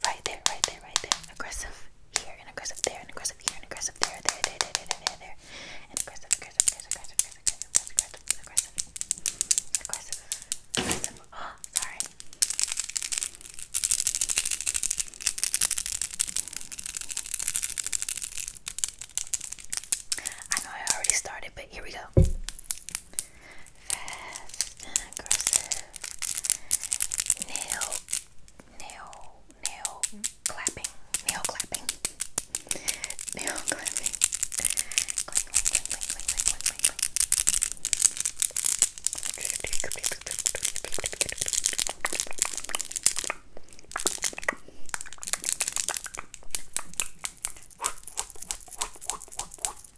Right there, right there, right there. Aggressive here and aggressive there and aggressive here and aggressive there, there, there, there, there, there, there. And aggressive, aggressive, aggressive, aggressive, aggressive, aggressive, aggressive, aggressive, aggressive. Oh, sorry. I know I already started, but here we go fast and aggressive nail nail nail clapping nail clapping nail clapping cling, cling, cling, cling, cling, I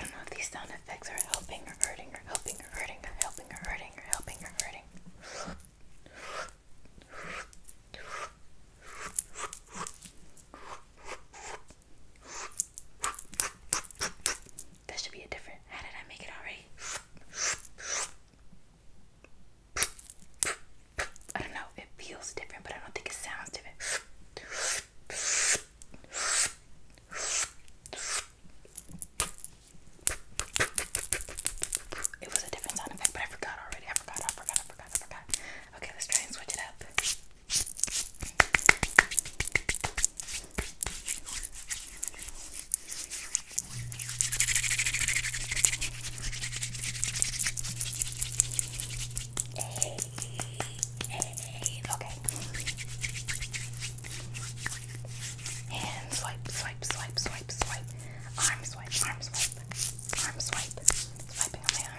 don't know if these sound effects are helping or hurting or helping or hurting or helping or hurting or helping or hurting. That should be a different. How did I make it already? I don't know. It feels different, but I don't think it sounds different. It was a different sound effect, but I forgot already. I forgot. I forgot. I forgot. I forgot. Okay, let's try and switch it up. Hey, hey, okay. And swipe, swipe, swipe, swipe, swipe. Arm swipe, arm swipe, arm swipe. Swiping on my arm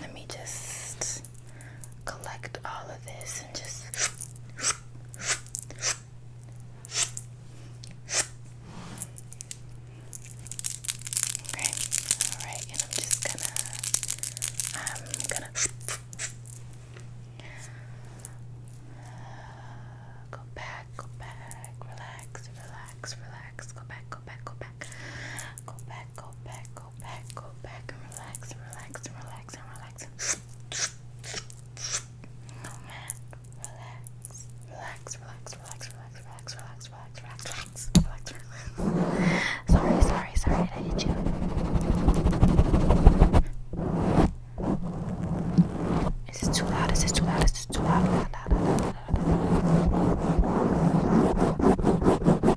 Let me just collect all of this and just. Okay, alright, and I'm just gonna. i gonna. Uh, go back, go back, relax, relax, relax, go back, go back, go back, go back, back, go back, go back, go back, and relax, relax, relax, and relax. No man, relax, relax, relax, relax, relax, relax, relax, relax, relax, relax, relax. Sorry, sorry, sorry, did I hit you? Is this too loud? Is this too loud? Is this too loud? Loud, loud, loud, loud, loud, loud.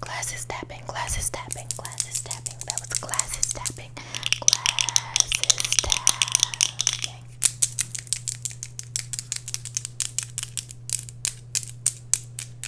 Glasses tapping, glasses tapping, glasses tapping. That was glasses tapping, glasses tapping.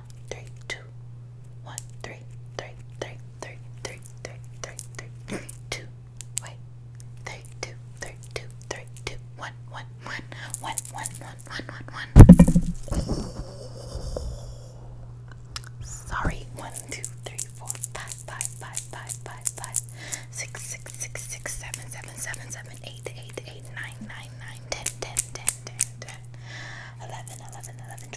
one, three, two, one, three, three, three, three, three, three, three, three, three, two, wait, three, two, three, two, three, two, one, one, one, one, one, one, one, one, one. Sorry, one, two, three, four, five, five, five, five, five, five, six, six, six, six, seven, seven, seven, seven, eight, eight, eight, nine, nine, nine, ten, ten, ten, ten, ten, eleven, eleven, eleven.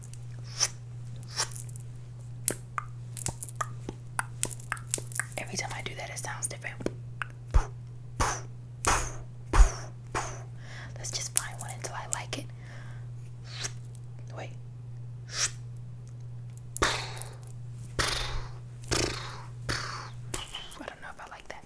Every time I do that, it sounds different. Let's just find one until I like it. Wait. I don't know if I like that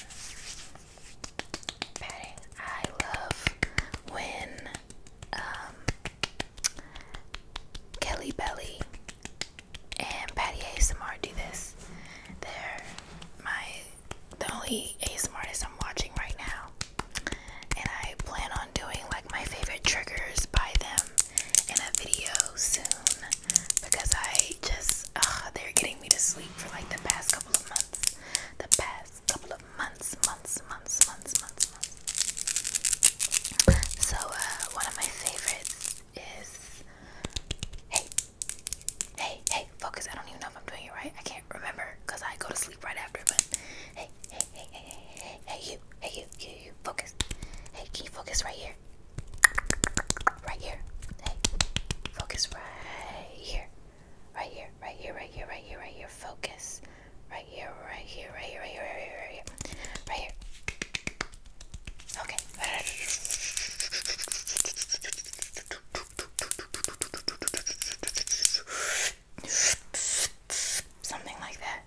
Patting. I love when um, Kelly Belly and Patty ASMR do this. They're my the only ASMR I'm watching right now, and I plan on doing like my favorite triggers by them in a video soon because I just uh, they're getting me to sleep for like the past couple of months. The past couple of months, months, months, months, months, months. So uh, one of my favorites is hey, hey, hey, focus. I don't even know if I'm doing it right. I can't remember because I go to sleep right after. But hey, hey, hey, hey, hey, hey, hey, you, hey, you, you, you, focus. Hey, can you focus right here? here. Right here. Hey. Focus right here. Right here. Right here. Right here. Right here. Right here. Focus. Right here. Right here. Right here. Right here. Right here. Right here. Right here. Okay. Something like that.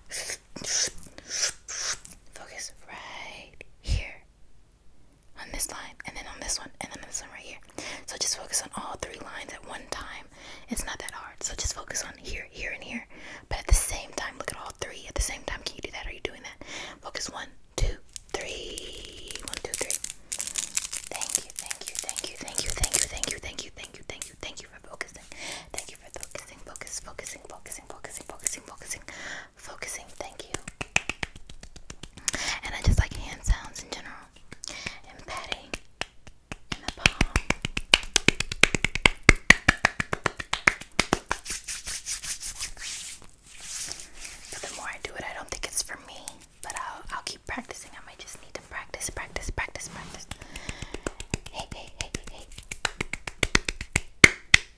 Focus right here here, on this line, and then on this one, and then on this one right here. So just focus on all three lines at one time. It's not that hard. So just focus on here, here, and here. But at the same time, look at all three. At the same time, can you do that? Are you doing that? Focus one, two, three. One, two, three. Thank you, thank you, thank you, thank you, thank you, thank you, thank you, thank you, thank you, thank you for focusing. Thank you for focusing, focus, focusing, focusing, focusing, focusing, focusing, focusing. Thank you. And I just like hand sounds in general. And patting in the palm. the more I do it, I don't think it's for me. But I'll I'll keep practicing. I might just need to practice, practice, practice, practice. hey, hey, hey, hey.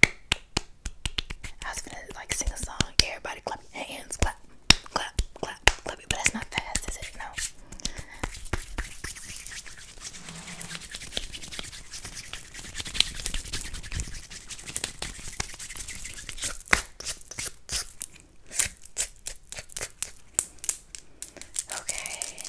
I was gonna like sing a song. Everybody clap your hands, clap, clap, clap, clap it. But that's not fast, is it? No. Okay.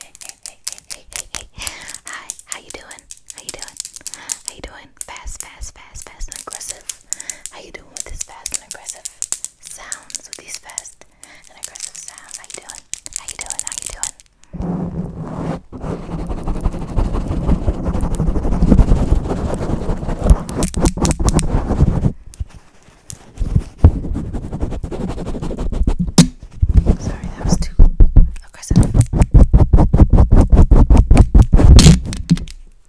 hey, hey, hey, hey, hey, hey, hey. Hi, how you doing? How you doing? How you doing? Fast, fast, fast, fast and aggressive. How you doing with this fast and aggressive sounds? With these fast and aggressive sounds. How you doing? How you doing? How you doing? Sorry, that was too aggressive.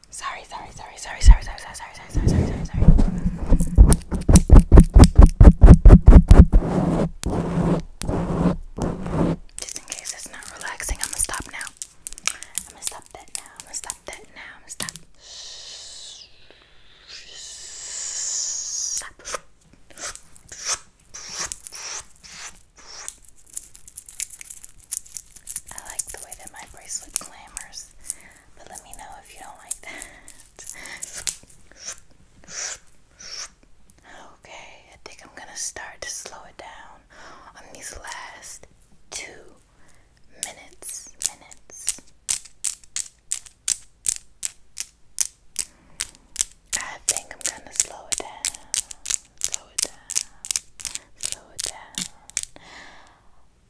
Sorry, sorry, sorry, sorry, sorry, sorry, sorry, sorry, sorry, sorry, sorry, sorry, sorry. Just in case it's not relaxing, I'm gonna stop now. I'm gonna stop that now. I'm gonna stop that now. I'm gonna stop. Stop. I like the way that my bracelet clammers, but let me know if you don't like that. Okay, I think I'm gonna start to slow it down on these last two minutes. Minutes. I think I'm gonna slow it down, slow it down, slow it down.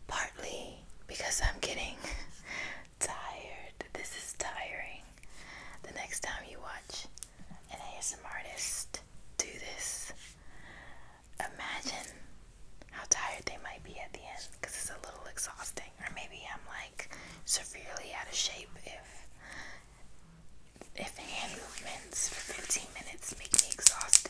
Partly because I'm getting tired. This is tiring. The next time you watch an ASMR artist do this, imagine how tired they might be at the end it's a little exhausting. Or maybe I'm like severely out of shape if if hand movements for 15 minutes make me exhausted.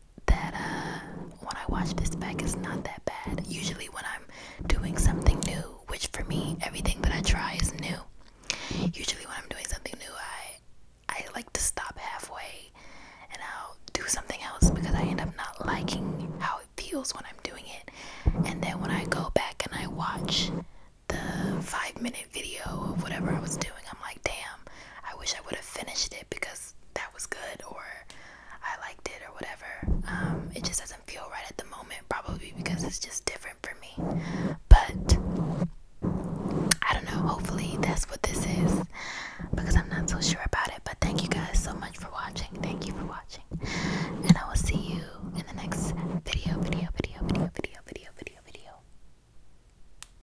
that uh, when I watch this back, it's not that bad. Usually, when I'm doing something new, which for me, everything that I try is new. Usually, when I'm doing something new, I I like to stop halfway and I'll do something else because I end up not liking how it feels when I'm doing it. And then when I go back and I watch the five minute video of whatever I was doing, I'm like, damn, I wish I would have finished it because was that was good or I liked it or whatever. Um, it just doesn't feel right at the moment, probably because it's just different for me. But I don't know. Hopefully that's what this is because I'm not so sure about it. But thank you guys so much for watching. Thank you for watching, and I will see you in the next video. Video. Video. Video. Video. Video. Video. Video.